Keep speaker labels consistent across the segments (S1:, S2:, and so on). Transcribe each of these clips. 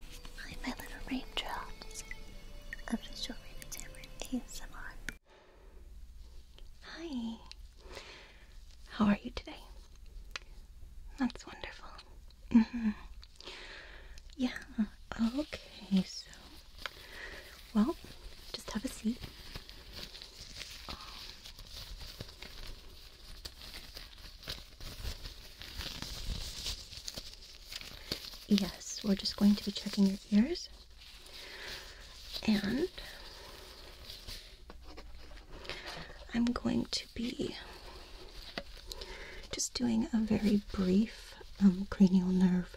S1: Hi, my little raindrops. I'm just showing you Tamara ASMR. Hi. How are you today? That's wonderful. Mm-hmm. Yeah. Okay, so. Well, just have a seat. Um, Yes, we're just going to be checking your ears. And I'm going to be just doing a very brief um, cranial nerve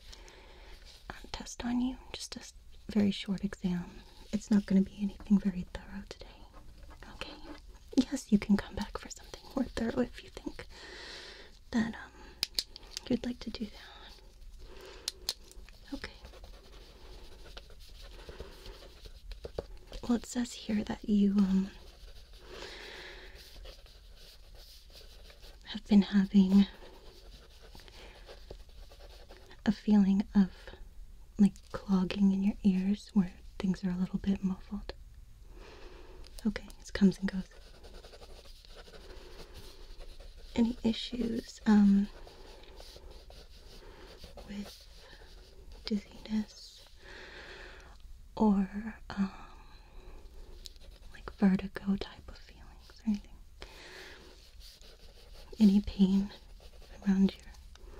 S1: um, test on you, just a very short exam. It's not going to be anything very thorough today. Okay yes, you can come back for something more thorough if you think that um, you'd like to do that. Okay. Well, it says here that you um, have been having a feeling of like clogging in your ears where things are a little bit muffled. Okay, it comes and goes. Any issues um, with dizziness or um, like vertigo type of feelings or anything? Any pain around your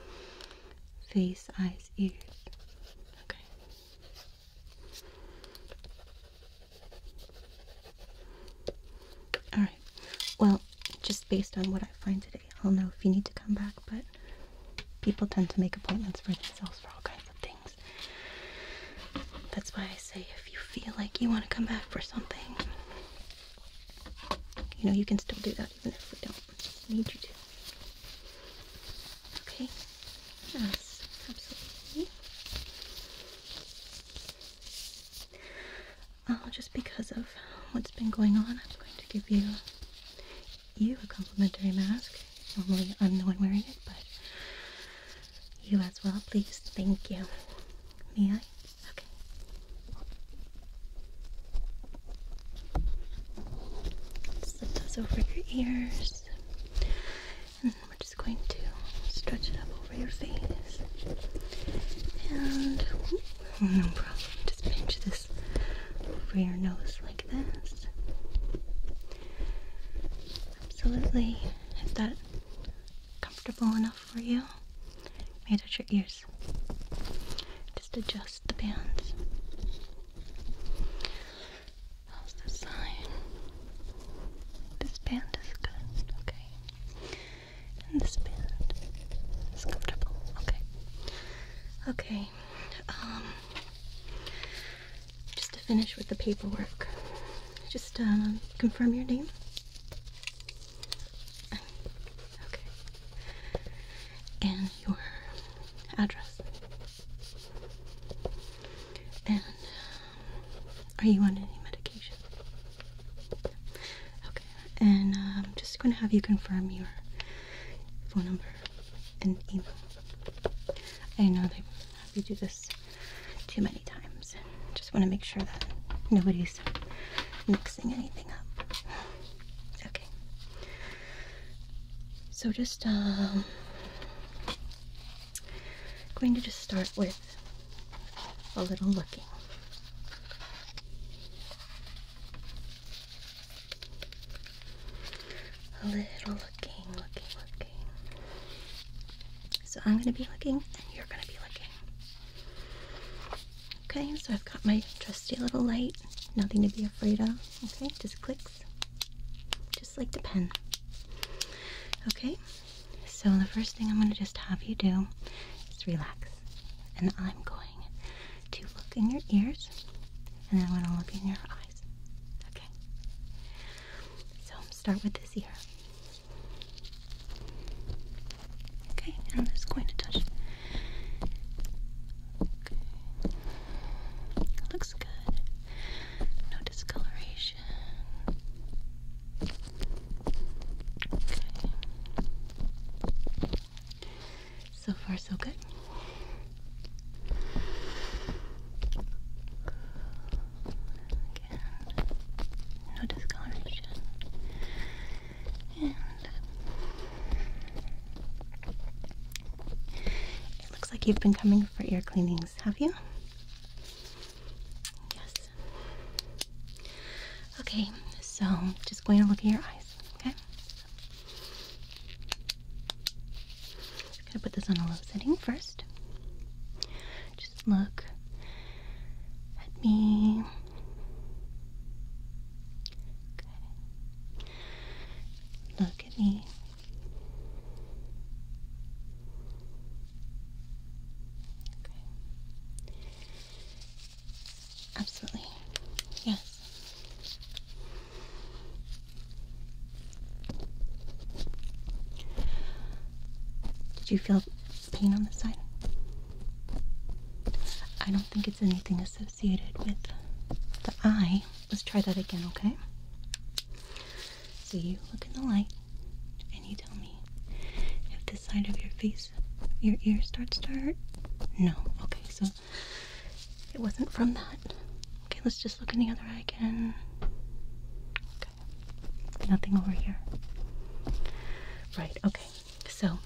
S1: face, eyes, ears? Okay. All right. Well, just based on what I find today, I'll know if you need to come back, but people tend to make appointments for themselves for all kinds of things. That's why I say if you feel like you want to come back for something, you know, you can still do that even if we don't. I need you to. Okay. Yes, absolutely. Oh, just because of what's been going on, I'm going to give you you a complimentary mask. Normally, I'm the one wearing it, but you as well, please. Thank you. May I? Okay. Slip those over your ears. And we're just going to stretch it up over your face. And no problem. Just pinch this over your nose like this. Absolutely. Is that comfortable enough for you? Maybe touch your ears? Just adjust the bands. How's the sign? This band is good, okay. And this band is comfortable, okay. Okay, um, just to finish with the paperwork, just um, confirm your name. Okay. And your address. And um, are you on any medication? Okay, and um, I'm just going to have you confirm your phone number and email. I know they have do this too many times. Just want to make sure that nobody's mixing anything up. Okay. So just um, going to just start with a little looking. A little looking, looking, looking. So I'm going to be looking and you're going to be looking. Okay, so I've got my trusty little light. Nothing to be afraid of. Okay, just click just like the pen. Okay, so the first thing I'm going to just have you do is relax, and I'm going to look in your ears, and then I'm going to look in your eyes. Okay, so start with this ear. Okay, and I'm just going to touch Looks good. No discoloration. So far, so good. no discoloration looks like you've been coming for ear cleanings, have you? Yes. Okay, so just going to look at your eyes, okay? Just gonna put this on a low setting first. Just look at me. Good. Look Look me. Okay. Absolutely. Yes. Did you feel pain on the side? I don't think it's anything associated with the eye. Let's try that again, okay? So you look in the light and you tell me if this side of your face, your ear starts to hurt. No. Okay, so it wasn't from that. Okay, let's just look in the other eye again. Okay. Nothing over here. Right, okay. So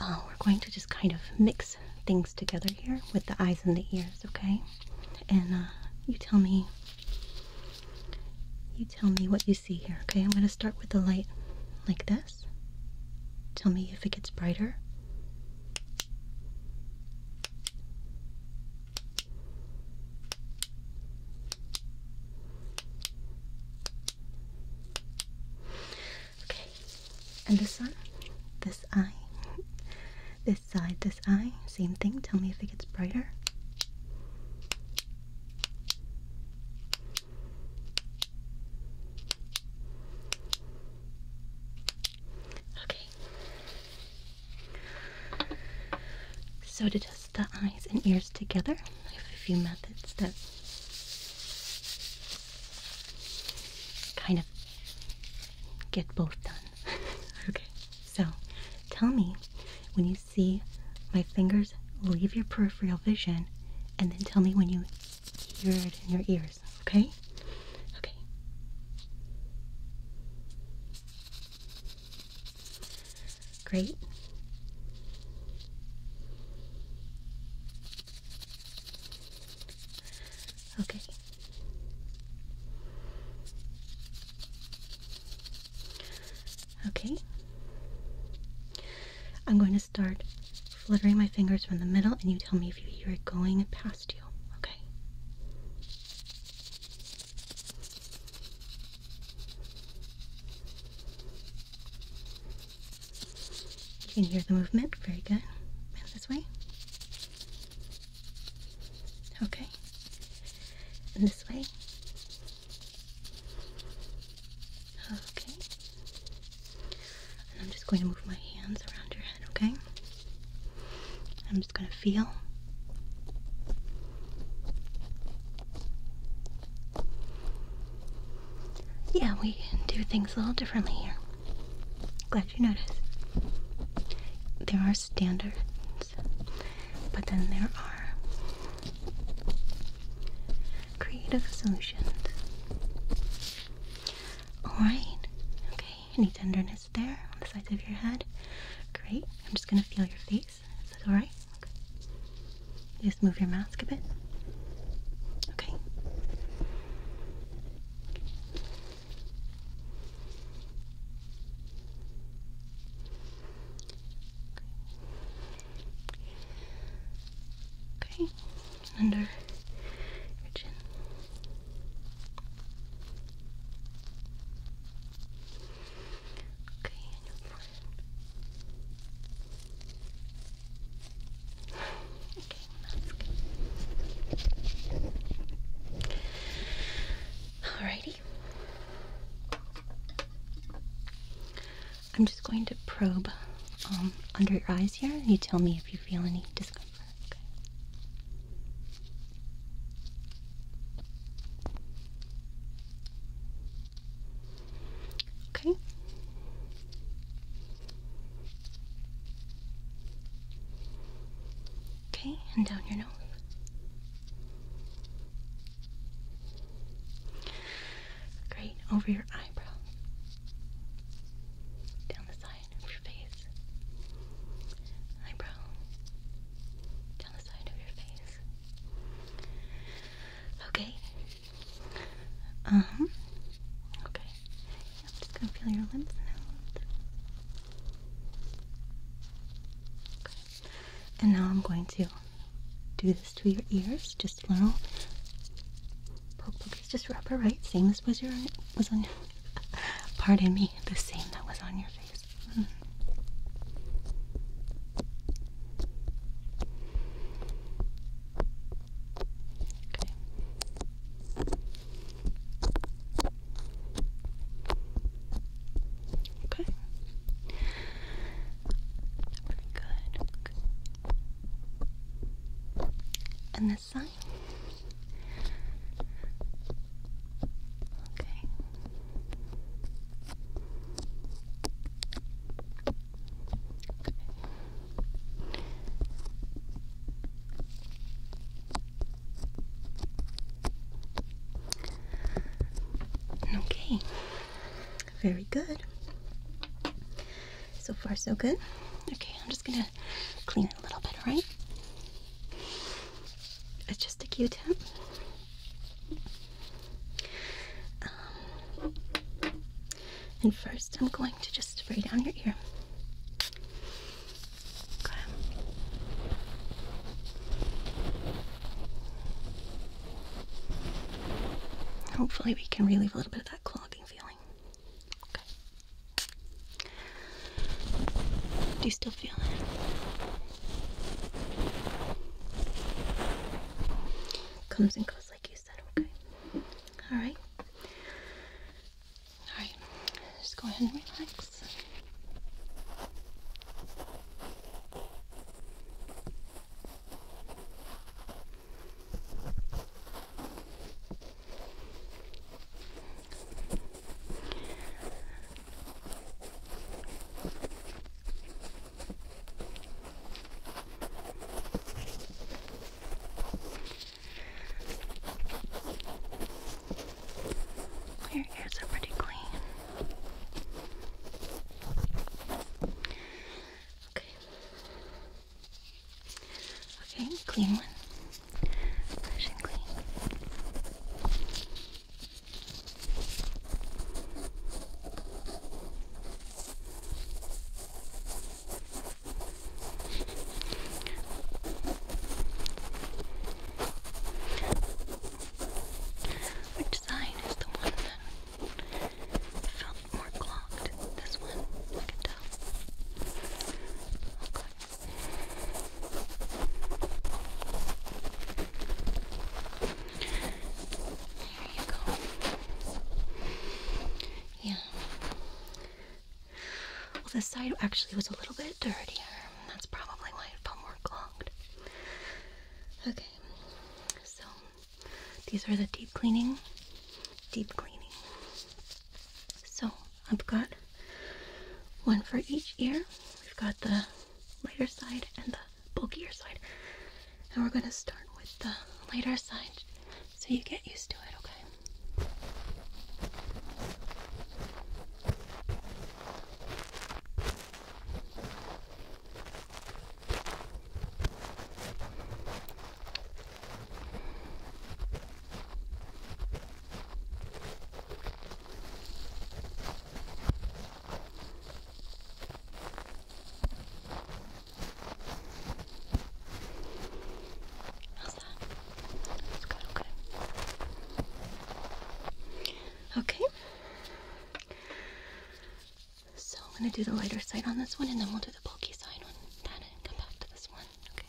S1: uh, we're going to just kind of mix things together here with the eyes and the ears, okay? And uh, you tell me, you tell me what you see here, okay? I'm going to start with the light like this. Tell me if it gets brighter. Okay, and this one, this eye, this side, this eye, same thing. Tell me if it gets brighter. Okay. So to test the eyes and ears together, I have a few methods that kind of get both done. okay, so tell me when you see my fingers leave your peripheral vision, and then tell me when you hear it in your ears, okay? Okay. Great. Okay. Okay. I'm going to start fluttering my fingers from the middle, and you tell me if you hear it going past you. Okay. You can hear the movement. Very good. this way. Okay. this way. Okay. I'm just going to move my hands around your head, okay? I'm just going to feel. Yeah, we do things a little differently here. Glad you noticed. There are standards, but then there are creative solutions. Alright, okay, any tenderness there on the sides of your head? Great, I'm just gonna feel your face. Is that alright? Just move your mask a bit. Okay. Okay. Under your chin. Okay, Alrighty. I'm just going to probe um, under your eyes here, and you tell me if you feel any discomfort. Okay. Okay, and down your nose. Great, over your eyebrow. Down the side of your face. Eyebrow. Down the side of your face. Okay, uh Okay. just gonna feel your lips now. Okay. And now I'm going to do this to your ears. Just a little poke, poke. It's right? Same as was your was on. pardon me. The same that was on your face. Mm-hmm. Okay. Okay. Very good. And this side. Okay. Okay, very good. So far, so good. Okay, I'm just gonna clean it a little bit, alright? It's just a q tip. Um, and first, I'm going to just spray down your ear. Hopefully, we can relieve a little bit of that clogging feeling. Okay. Do you still feel it? Comes and goes like is that okay? All right. All right. Just go ahead and relax. Your ears are pretty clean. Okay. Okay, clean one. Fresh clean. Which side is the one that felt more clogged? This one, I can tell. Okay. Here you go. Yeah. Well, this side actually was a little bit dirtier. That's probably why it felt more clogged. Okay. So these are the deep cleaning. Deep cleaning. So I've got one for each ear. We've got the lighter side and the bulkier side. And we're going to start with the lighter side so you get used to it, okay? Okay okay. So I'm gonna do the lighter side on this one and then we'll do the bulky side on that come back to this one. Okay.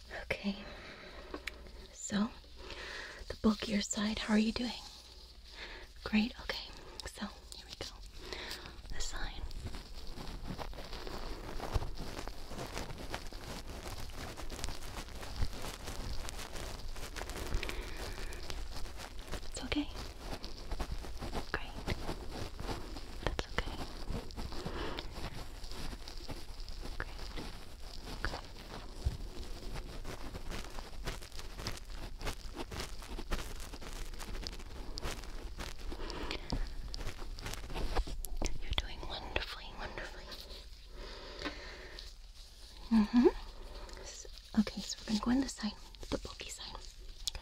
S1: Okay. So, the bulkier side, how are you doing? Great. Okay. So, here we go. The sign. It's okay. Great. That's okay. Okay. You're doing wonderfully, wonderfully. hmm. So, okay, so we're going to go on this side, the bulky side. Okay.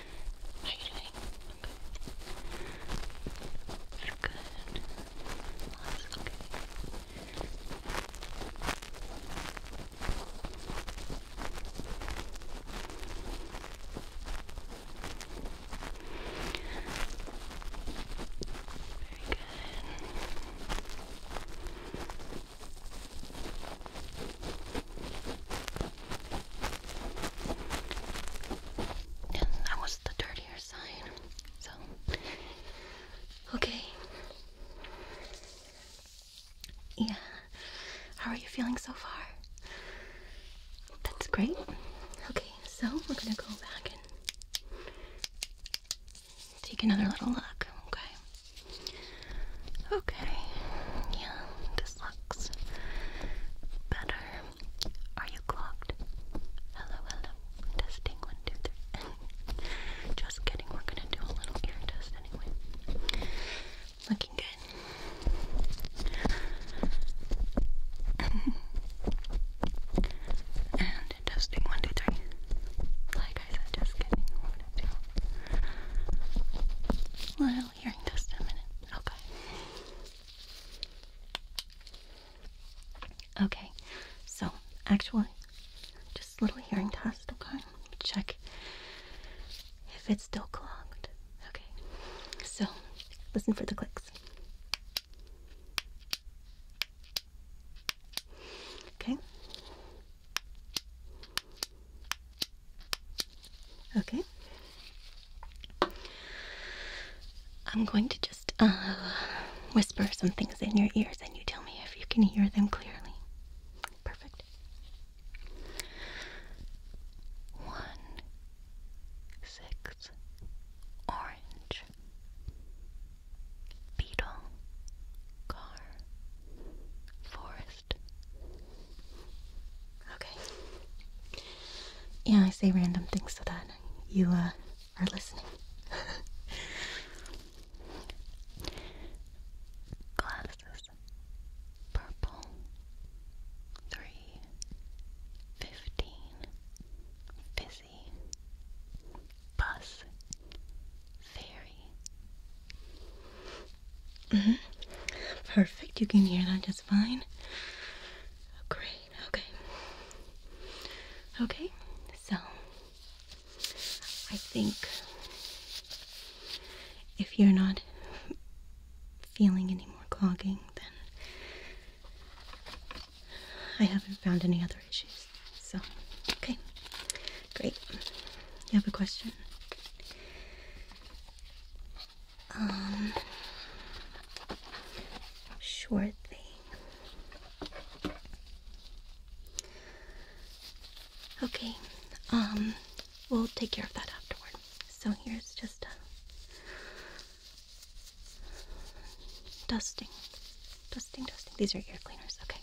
S1: How are you doing? Okay. It's good. That's okay. Very good. And that was the dirtier side. So, okay. Yeah. How are you feeling so far? That's great. Okay, so we're gonna go back and take another little look. Okay. Okay. Yeah, this looks better. Are you clogged? Hello, hello. Testing one, two, three. Just kidding. We're gonna do a little ear test anyway. Looking good. and testing one, two, three. Like I said, just kidding. We're little hearing test in a minute. Okay. Okay, so actually, just a little hearing test, okay? Check if it's still clogged. Okay, so listen for the clicks. Okay. Okay. I'm going to just uh, whisper some things in your ears and you tell me if you can hear them clearly. Perfect. One, six, orange, beetle, car, forest, Okay. Yeah, I say random things so that you uh, are listening. Glasses. Purple. Three. Busy. Bus. Fairy. -hmm. Perfect. You can hear that just fine. Great, okay. Okay, so I think if you're not feeling any more clogging, then I haven't found any other issues. So, okay, great. You have a question? Um, sure thing. Okay, um, we'll take care of that afterward. So here's just a dusting, dusting, dusting. These are air cleaners, okay.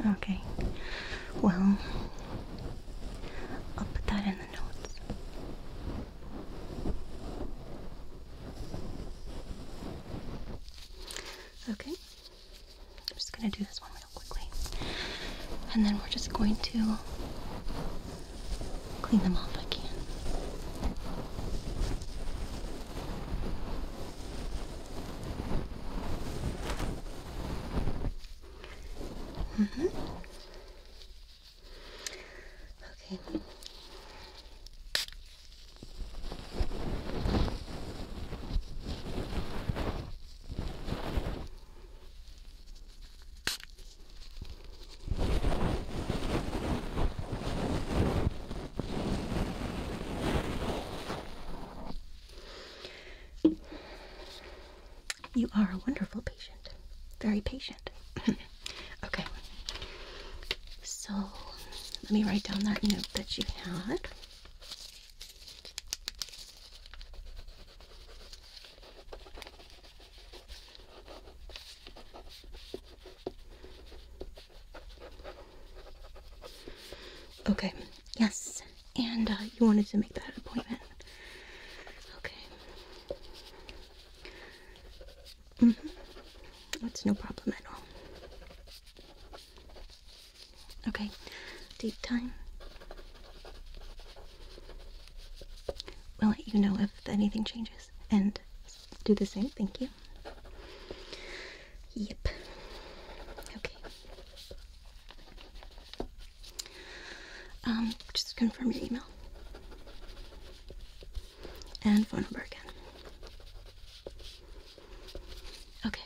S1: okay. Well, I'll put that in the notes. Okay. I'm just going to do this one real quickly. And then we're just going to clean them off again. Mm -hmm. Okay. You are a wonderful patient. Very patient. okay. So let me write down that note that you had. Okay, yes. And uh, you wanted to make that appointment. Okay. hmm That's no problem at all. Okay, date time. We'll let you know if anything changes. And do the same. Thank you. Yep. Okay. Um, just confirm your email and phone number again. Okay.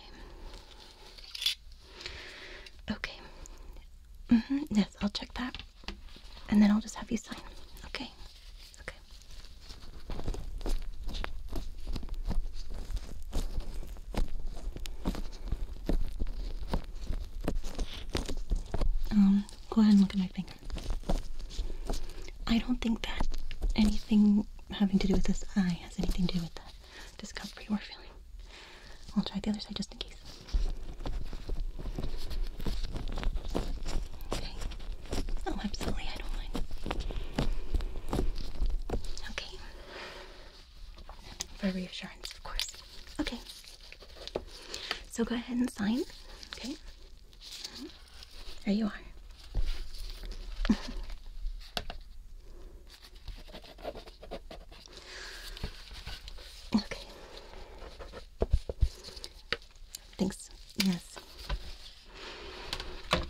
S1: Okay. Mm-hmm. Yes, I'll check that and then I'll just have you sign. Okay. Okay. Um, go ahead and look at my finger. I don't think that anything having to do with this eye has anything to do with the discovery or feeling. I'll try the other side just in case. Oh, absolutely, I don't mind. Okay. For reassurance, of course. Okay. So go ahead and sign. Okay. There you are. okay. Thanks. Yes. Well,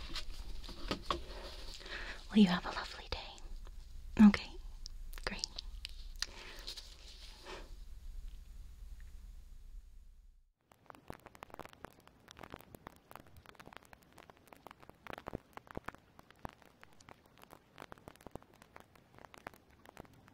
S1: you have a lovely day. Okay. Great.